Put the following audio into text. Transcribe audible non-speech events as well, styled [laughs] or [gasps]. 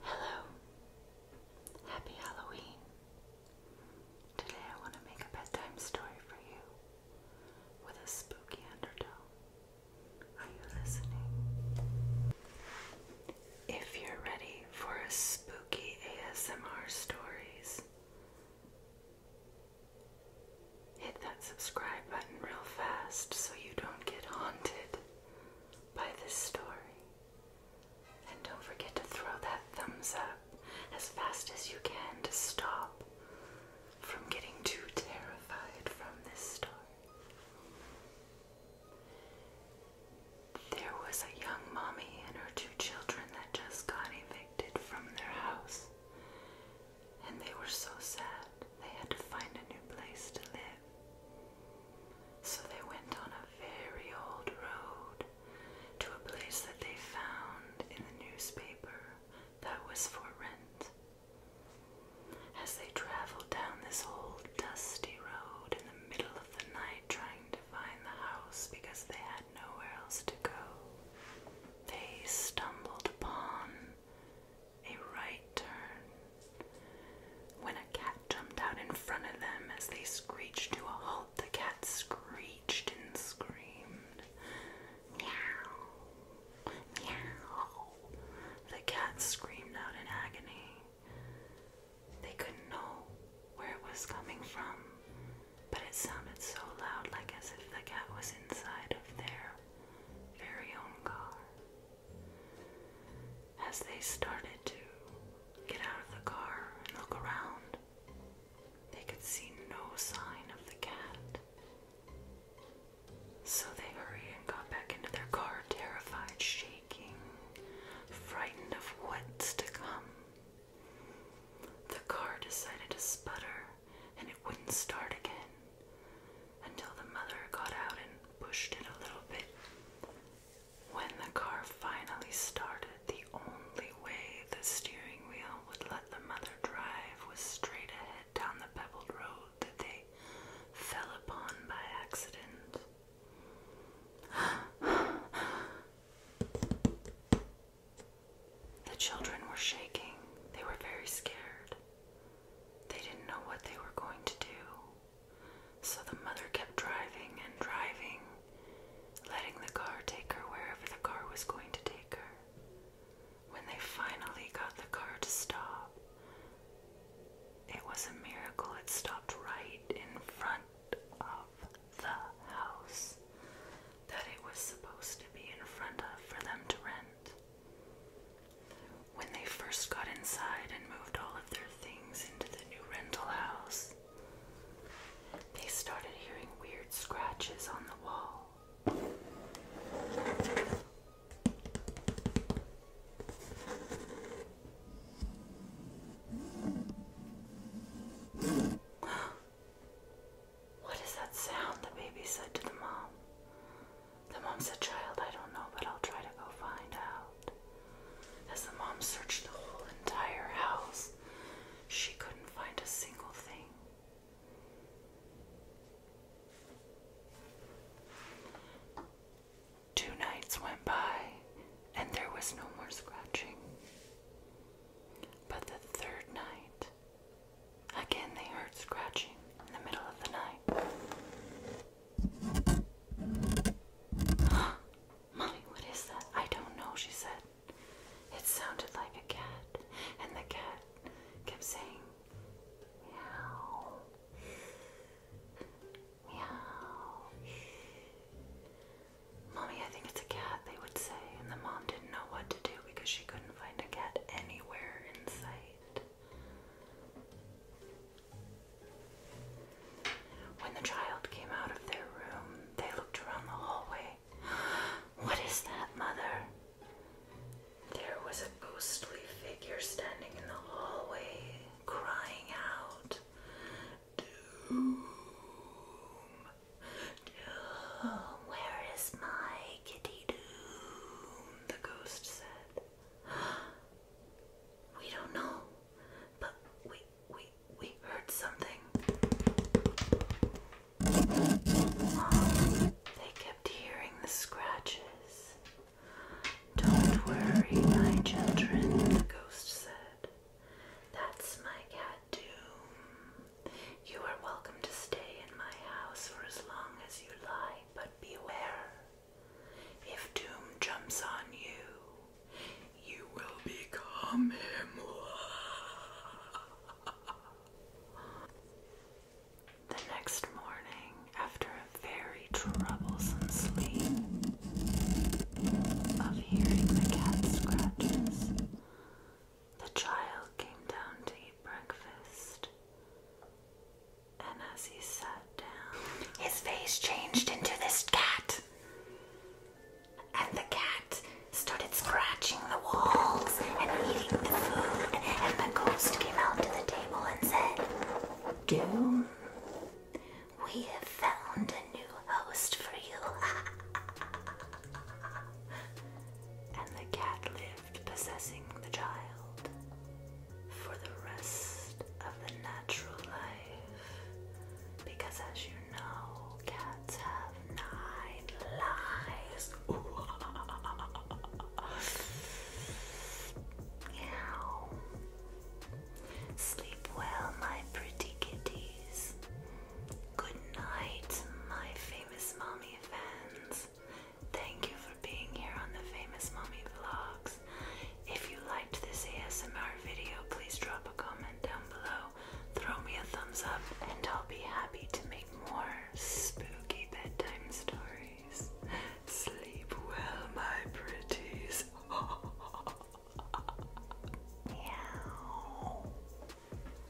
Hello, happy Halloween. Today I want to make a bedtime story for you with a spooky undertone. Are you listening? If you're ready for a spooky ASMR stories, hit that subscribe button real fast so you don't get haunted by this story. And don't forget to throw that thumbs up as fast as you can to stop from getting too terrified from this story. There was a young mommy and her two children that just got evicted from their house. And they were so sad they had to find a new place to live. So they went on a very old road to a place that they found in the newspaper that was for rent. As they traveled down this old dusty road in the middle of the night trying to find the house because they had nowhere else to go, they stumbled upon a right turn when a cat jumped out in front of them as they screeched to a halt the cat screeched and screamed meow meow the cat screamed out in agony they couldn't know where it was coming from but it sounded so loud like as if the cat was inside of their very own car as they started to get out of the car and look around, they could see no sign of the cat. So they hurried and got back into their car, terrified, shaking, frightened of what's to come. The car decided to sputter and it wouldn't start again until the mother got out and pushed it a little bit. When the car finally started, the only way the steering wheel would let the mother drive was straight ahead down the pebbled road that they fell upon by accident. the children were shaking. They were very scared. They didn't know what they were going to do. So the mother kept driving and driving, letting the car take her wherever the car was going to take her. When they finally got the car to stop, it was a miracle it stopped right in front of the house that it was supposed to be in front of for them to rent. When they first got inside and moved all of their things into the new rental house, they started hearing weird scratches on the wall. What is that sound? The baby said to the mom. The mom said, Child, I don't know, but I'll try to go find out. As the mom searched the whole entire house, she couldn't find a single thing. Two nights went by, and there was no more scratching. But the third night, Again, they heard scratching in the middle of the night. [gasps] Molly, what is that? I don't know, she said. It sounded like a cat, and the cat kept saying, Meow. Meow. Mommy, I think it's a cat, they would say, and the mom didn't know what to do because she couldn't find a cat anywhere in sight. When the child came out of their room, they looked around the hallway. [gasps] What is that, mother? There was a ghostly figure standing in the hallway, crying out, Doom! Doom! Where is my kitty doom, the ghost said. [gasps] We don't know, but we we we heard something. [gasps] they kept hearing the scratches. Don't worry, my children, the ghost said. That's my cat Doom. You are welcome to stay in my house for as long as you like, but beware. If doom jumps on you, you will become him. The next morning, after a very troublesome sleep of hearing the cat scratches, the child came down to eat breakfast, and as he sat down, his face changed into this cat. And the cat started scratching the walls and eating the food, and the ghost came out to the table and said, Doom, we have found a new host for you. [laughs] and the cat lived gift possessing the child for the rest of the natural life. Because as you know, cats have nine lives. [laughs] Meow. Sleep well, my pretty kitties. Good night, my famous mommy fans. Thank you for being here on the Famous Mommy Vlogs. If you liked this ASMR video, please drop a comment down below, throw me a thumbs up, and I'll be happy to make more spooky bedtime stories. Sleep well, my pretties. [laughs]